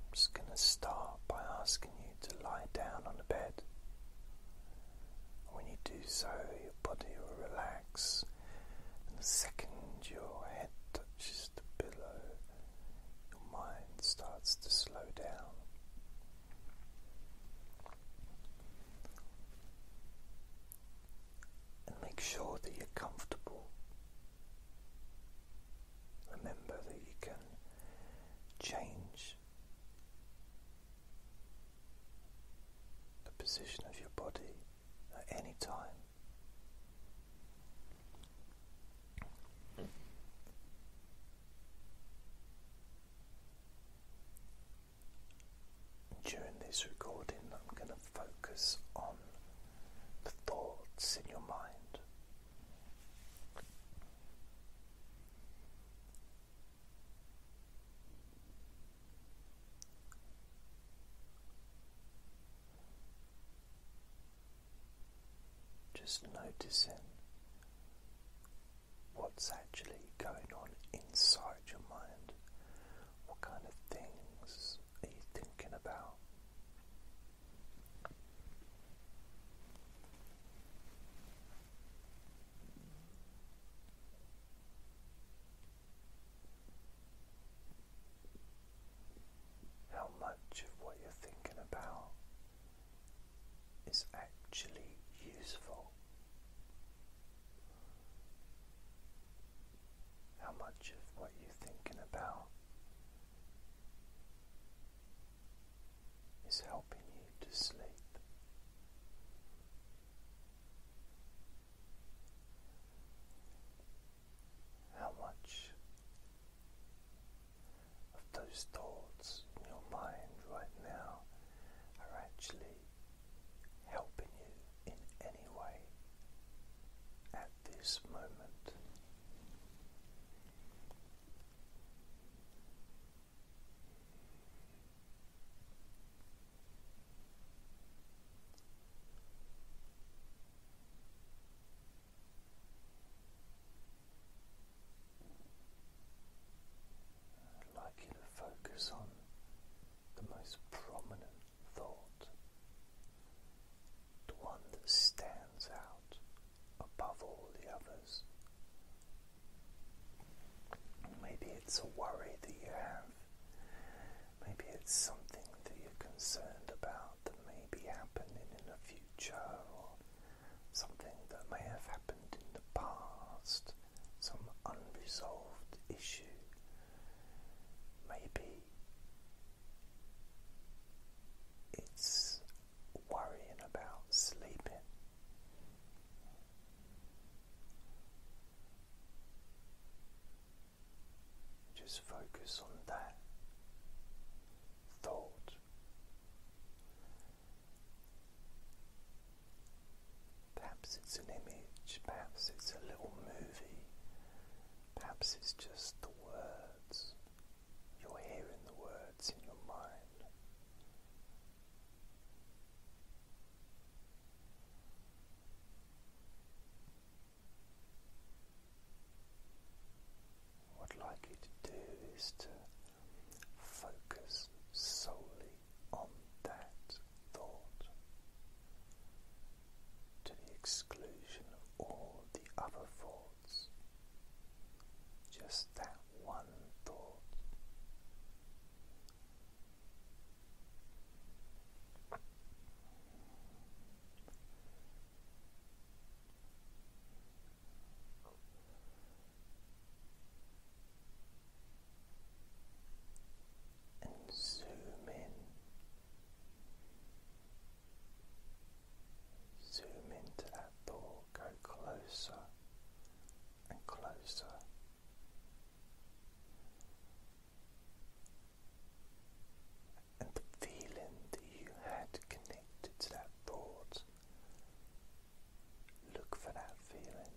I'm just going to start by asking you to lie down on the bed. When you do so, your body will relax, and the second your head touches the pillow, your mind starts to slow down. And make sure that you're comfortable Remember that you can change the position of your body at any time. During this recording, I'm going to focus on the thoughts in your mind. Just noticing what's actually going on inside your mind. What kind of things are you thinking about? How much of what you're thinking about is actually useful? how much of what you're thinking about is helping you to sleep. How much of those thoughts in your mind right now are actually helping you in any way at this moment. like you to focus on the most prominent thought, the one that stands out above all the others. Maybe it's a worry that you have, maybe it's something that you're concerned about that may be happening in the future, or something that may have happened in the past, some unresolved issue Maybe it's worrying about sleeping. Just focus on that thought. Perhaps it's an image, perhaps it's a little movie, perhaps it's just the words. You're hearing the words in your mind. What I'd like you to do is to focus solely on that thought to the exclusion of all the other thoughts. Just that one thought and zoom in. Zoom into that thought, go closer and closer. And the feeling that you had connected to that thought, look for that feeling.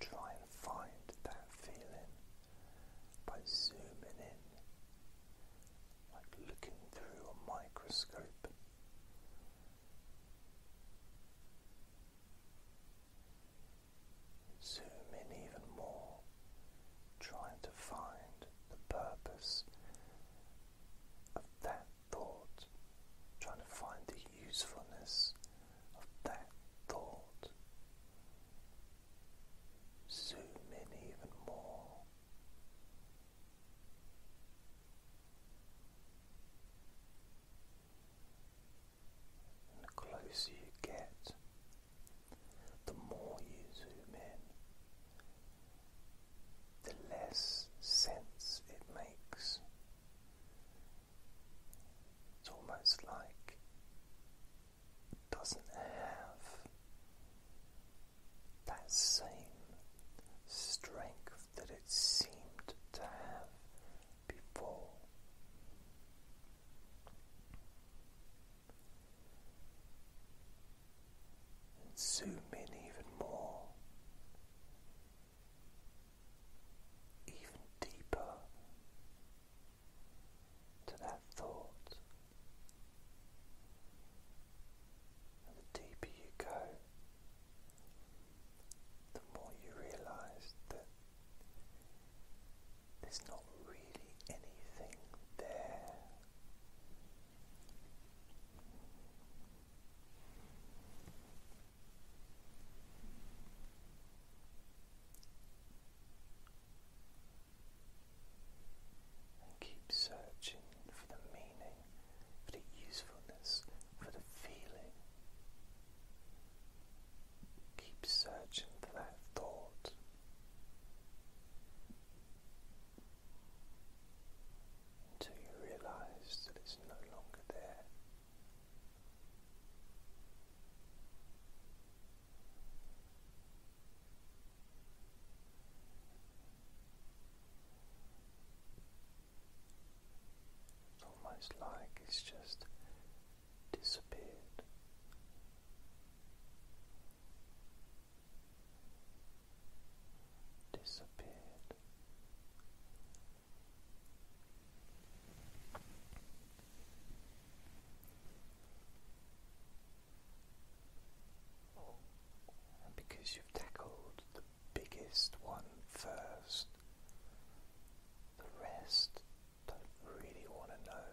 Try and find that feeling by zooming in, like looking through a microscope. Zoom in even more, trying to find the purpose of that thought, trying to find the usefulness of that thought. Zoom in even more. And the closer you get, the more you zoom in, the less sense it makes it's almost like it doesn't have that same strength that it seemed to have before. zoom in even more even deeper to that thought. And the deeper you go, the more you realize that there's not really anything there keep searching for the meaning, for the usefulness, for the feeling. Keep searching for that thought. Until you realize that it's no longer there. It's almost like it's just disappeared. Disappeared, because you've tackled the biggest one first, the rest don't really want to know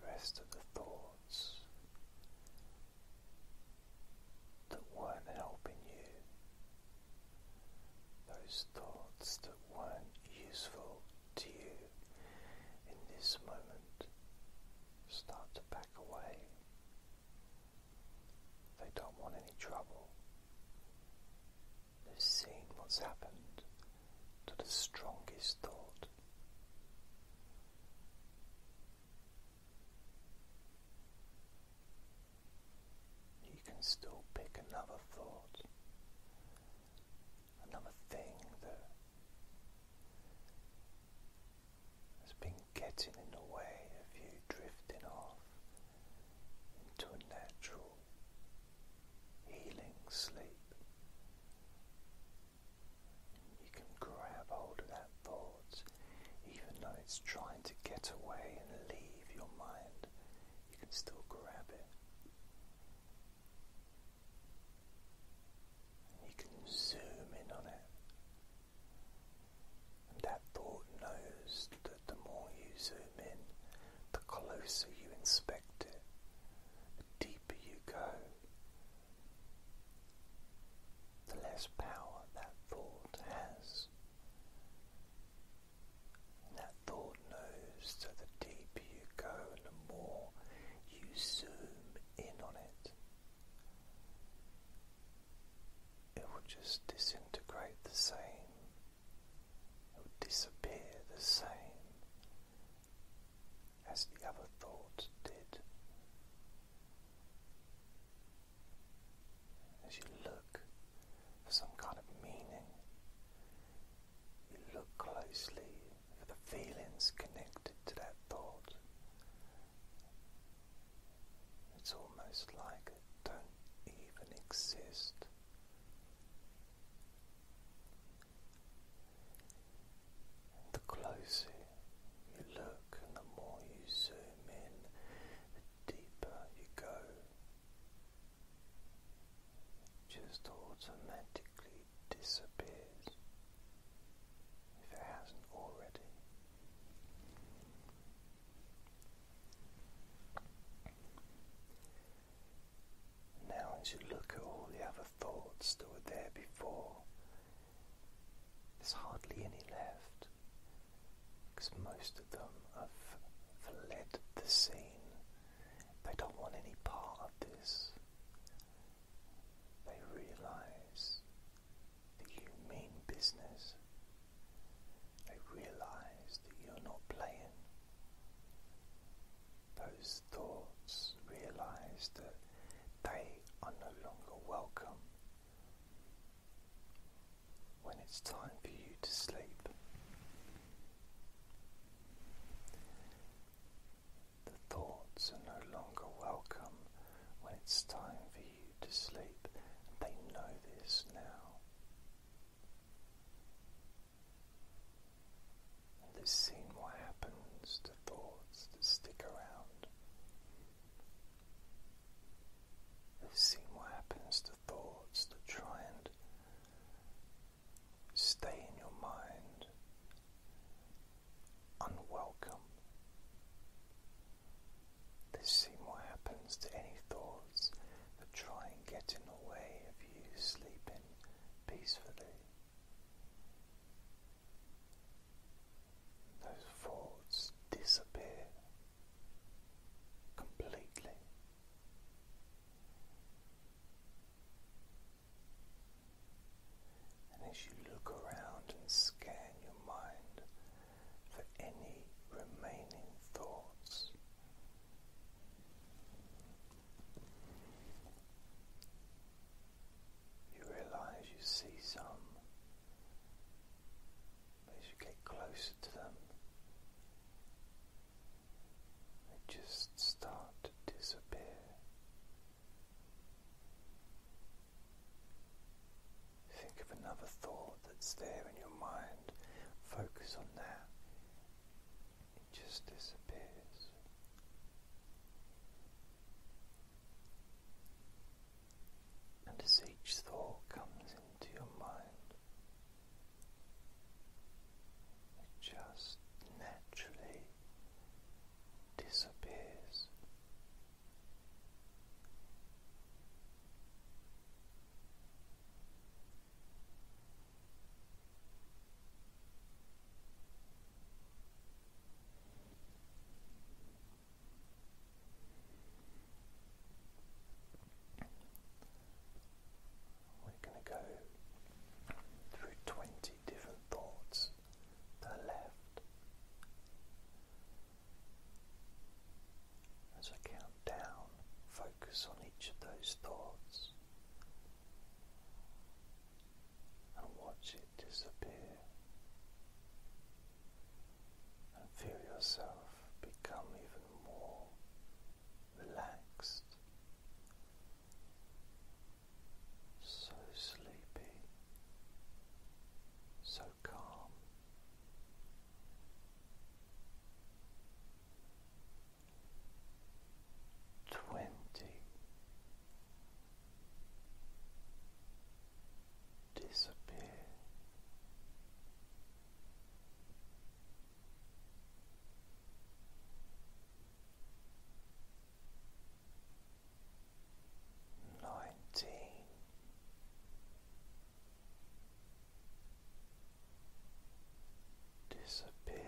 the rest of the thoughts that weren't helping you those thoughts that weren't useful to you in this moment start to back away. They don't want any trouble. They've seen what's happened to the strongest thought you can still pick another thought, another thing that has been getting in the way of you drifting off into a natural healing sleep. You can grab hold of that thought even though it's trying to get away and leave your mind you can still grab it. you can zoom in on it. that thought knows that the more you zoom in, the closer you inspect it, the deeper you go, the less power that thought has that thought knows that the deeper you go and the more you zoom in on it, it will just disintegrate the same, it will disappear the same as the other thought did as you look for some kind of meaning. You look closely for the feelings connected to that thought. It's almost like it don't even exist. The closer you look and the more you zoom in, deeper you go, it just automatically disappears if it hasn't already. Now, as you look at all the other thoughts that were there before, there's hardly any left because most of have fled the scene. They don't want any part of this. They realize that you mean business. They realize that you're not playing. Those thoughts realize that they are no longer welcome when it's time for you to sleep. The thoughts are no longer welcome when it's time for you to sleep, they know this now. they've seen what happens to thoughts that stick around. We've what happens to thoughts that try and stay in your mind unwelcome. They've what happens to any thoughts that try and get in the way of you sleeping peacefully those thoughts disappear completely. And as you look around and scan your mind for any remaining thoughts, you realize you see some as you get closer to them, they just start to disappear. Think of another thought that's there in your mind, focus on that, it just disappears. And as each thought comes into your mind, it just naturally disappears. We're going to go through 20 different thoughts that are left as I count down, focus on each of those thoughts and watch it disappear and feel yourself become even more relaxed, so sleepy, so calm. Twenty disappear. Nineteen. Disappear,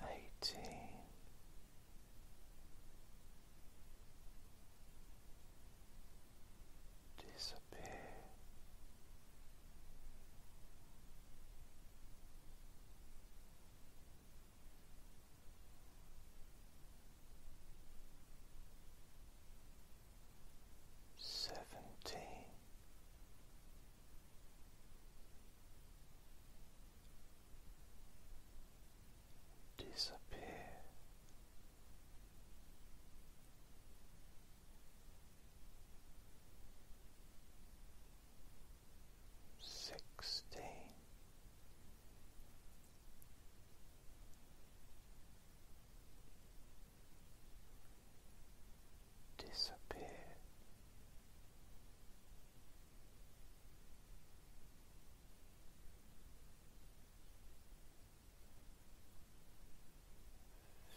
eighteen. Disappear seventeen disappear sixteen disappear.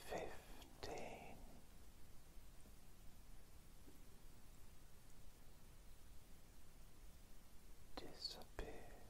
Fifteen. Disappear.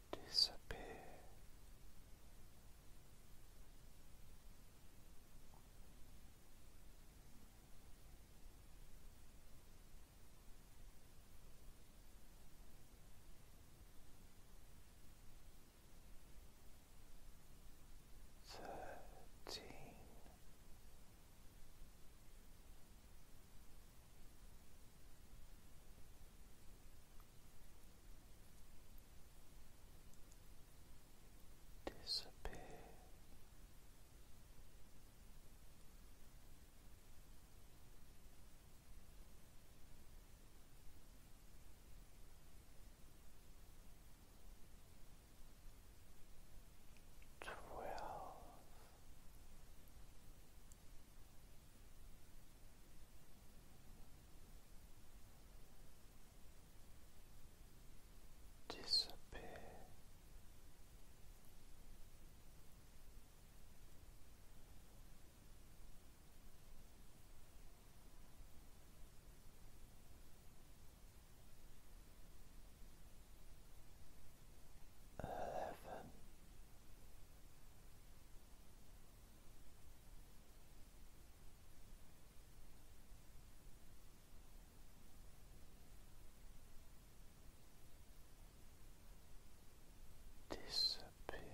disappear. Thirteen disappear. Twelve disappear. Eleven. Disappear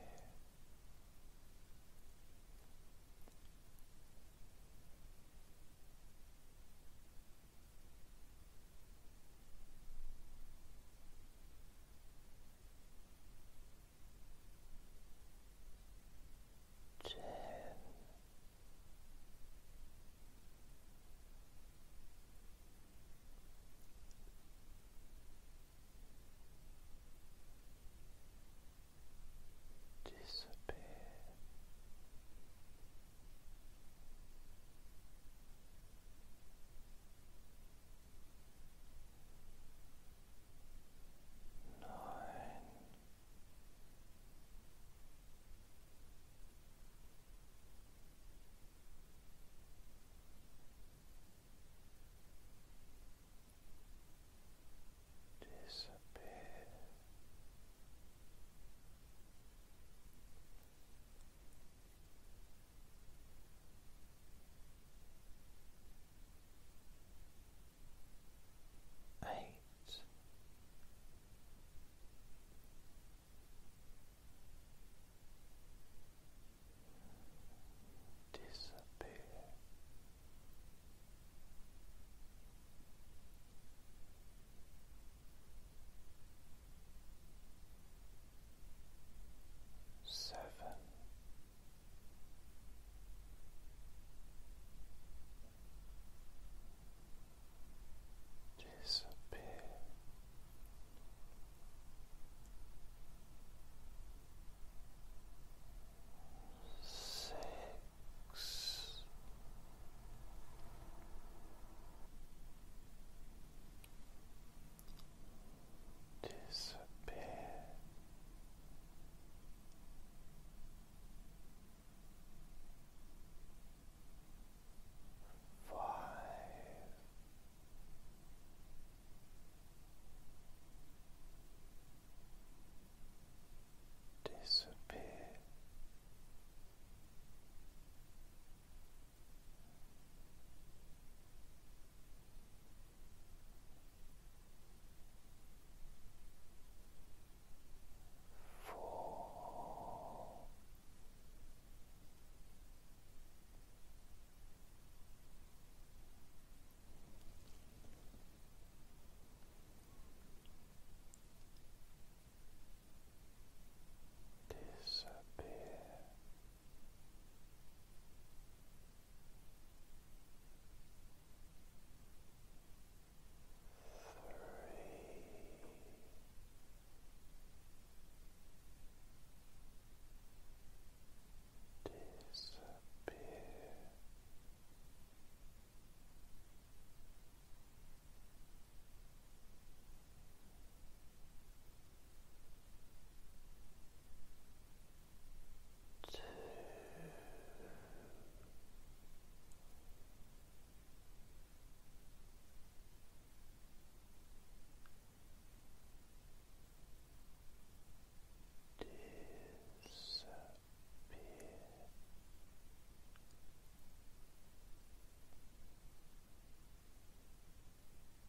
ten disappear nine. Disappear Eight. Disappear seven, disappear. Six, disappear. Five, disappear. Four. Disappear Disappear Two. Disappear disappear